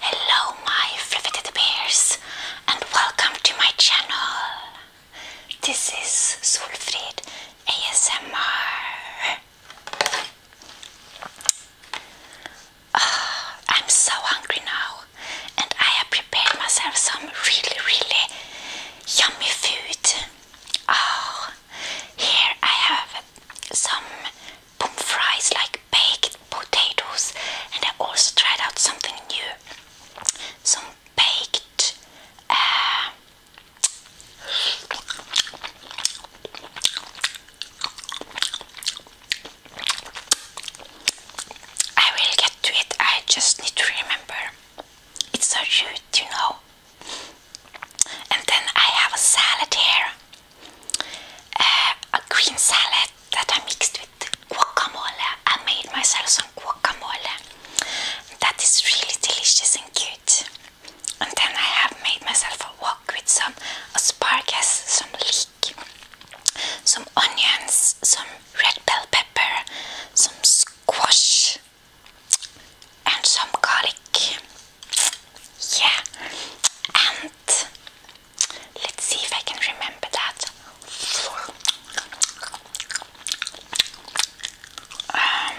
Hello, my fluffy bears, and welcome to my channel. This is Solfrid ASMR. Oh, ah, I'm so hungry now, and I have prepared myself some really, really yummy food. Oh, here I have some fries like baked potatoes, and I also tried out something new. Some baked uh, I will get to it, I just need to remember. It's so rude, you know. And then I have a salad here. Uh, a green salad that I mixed with guacamole. I made myself some guacamole. That is really delicious and cute. And then I have made myself a wok with some asparagus, some leek, some onions, some red bell pepper, some squash, and some garlic. Yeah, and let's see if I can remember that. Um,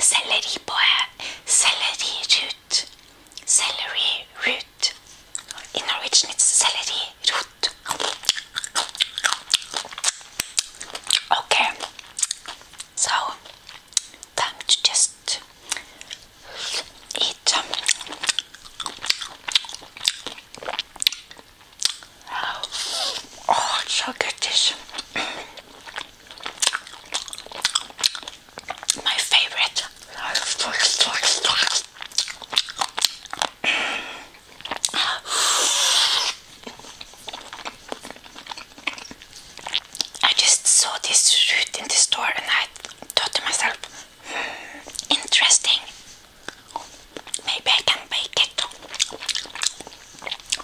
celery boy, celery root, celery root. In Norwegian, it's celery root. Okay, so time to just eat. Um, oh, it's so good this. My favorite. I just saw this fruit in the store and I thought to myself, hmm, interesting. Maybe I can bake it.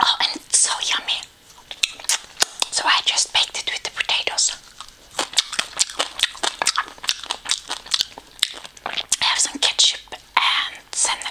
Oh, and it's so yummy. So I just baked it with the potatoes. I have some ketchup and sennep.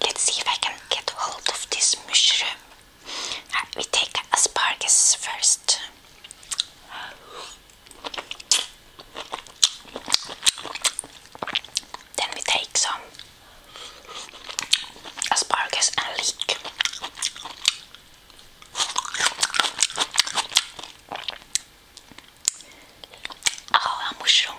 Let's see if I can get hold of this mushroom. We take asparagus first. Then we take some asparagus and leek. Oh, a mushroom.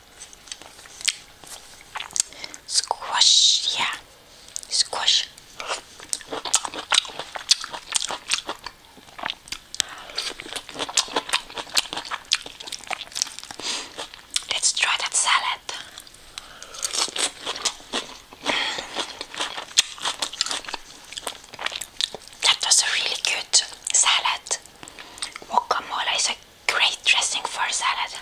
Squash, yeah. Squash. Let's try that salad. That was a really good salad. Guacamole is a Great dressing for salad.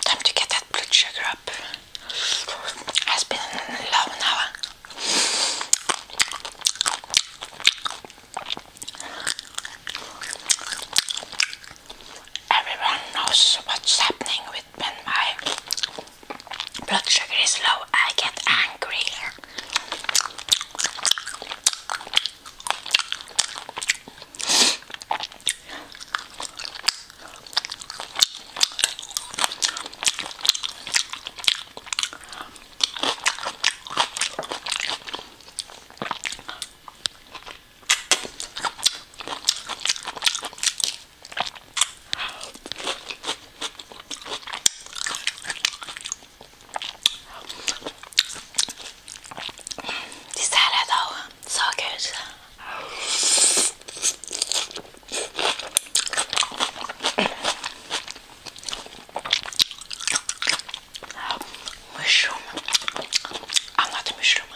Time to get that blood sugar up. Has been low now. Everyone knows what's happening with when my blood sugar is low. I get angry. This salad though, so good. Mushroom. I'm not a mushroom.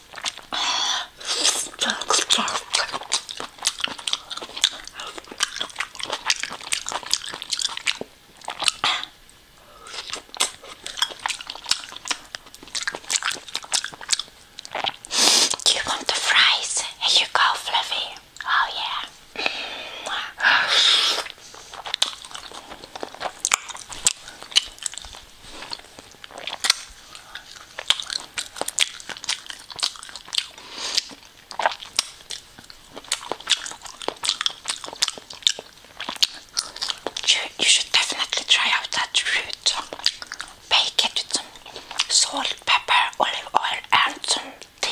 Do you want the fries? Here you go, Fluffy. Oh, yeah. You should definitely try out that root. Bake it with some salt, pepper, olive oil, and some dill.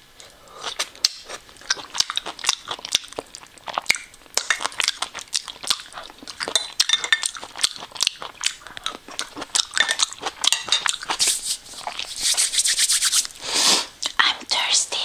I'm thirsty.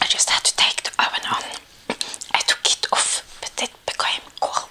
I just had to take the oven on Het took it off, but it became kort.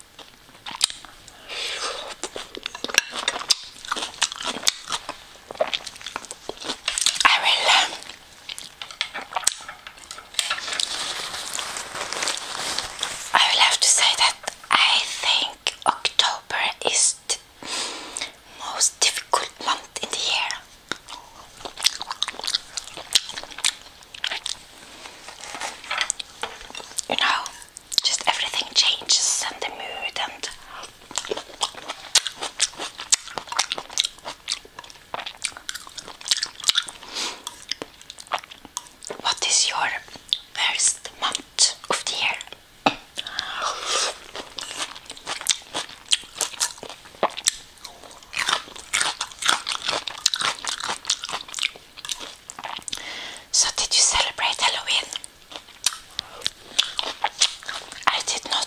I will um, I will have to say that I think October is the most difficult month in the year. You know, just everything changes and the mood and what is your worst month of the year? So, did you celebrate Halloween? I did not.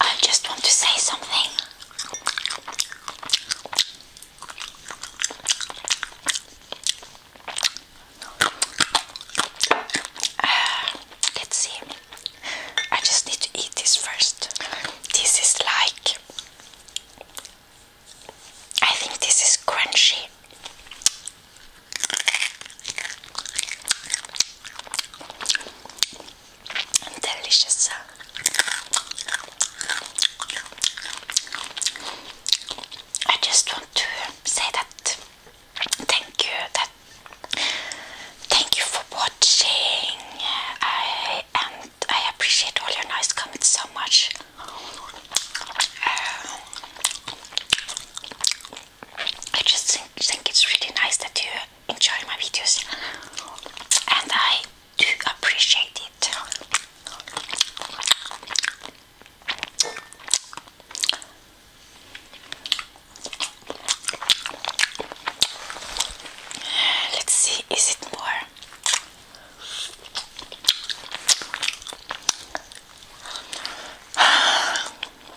I just want to say something. Uh, let's see. I just need to eat this first. This is like. I think this is crunchy. Delicious. I just want to say that thank you that thank you for watching. I and I appreciate all your nice comments so much. Um, I just think, think it's really nice that you enjoy my videos, and I do appreciate it. Let's see, is it more?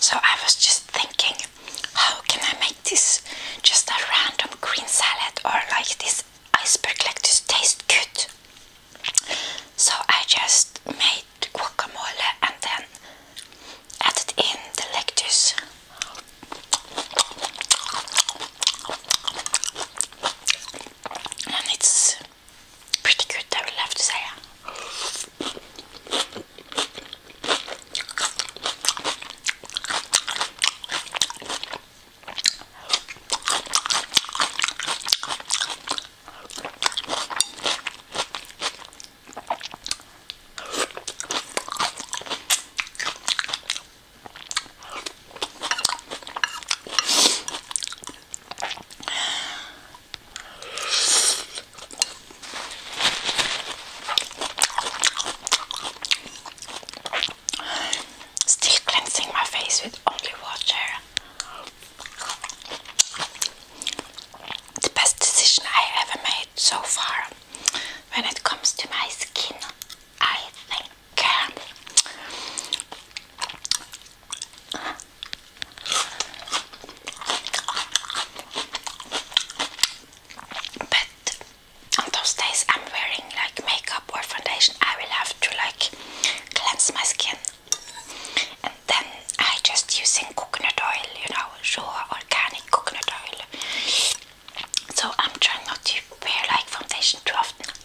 So I was just thinking, how can I make this just a random green salad or like this iceberg lettuce taste good? So I just made guacamole and then added in the lettuce and it's pretty good, I will have to say. Still cleansing my face with only water. The best decision I ever made so far when it comes to my skin, I think. But on those days I'm wearing like makeup or foundation, I will have to like cleanse my skin. And then I just using coconut oil, you know, raw organic coconut oil. So I'm trying not to wear like foundation too often.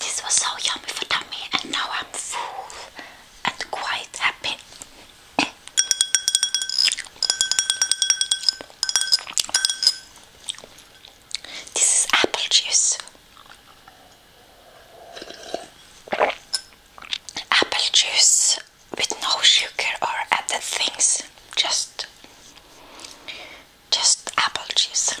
This was so yummy for tummy and now I'm full and quite happy. This is apple juice. Apple juice with no sugar or added things, just just apple juice.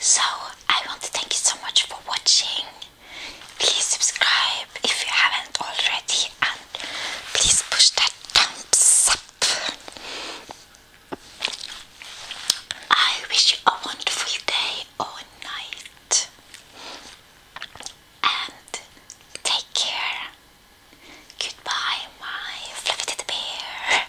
So, I want to thank you so much for watching. Please subscribe if you haven't already, and please push that thumbs up. I wish you a wonderful day or night. And take care. Goodbye, my fluffy teddy bear.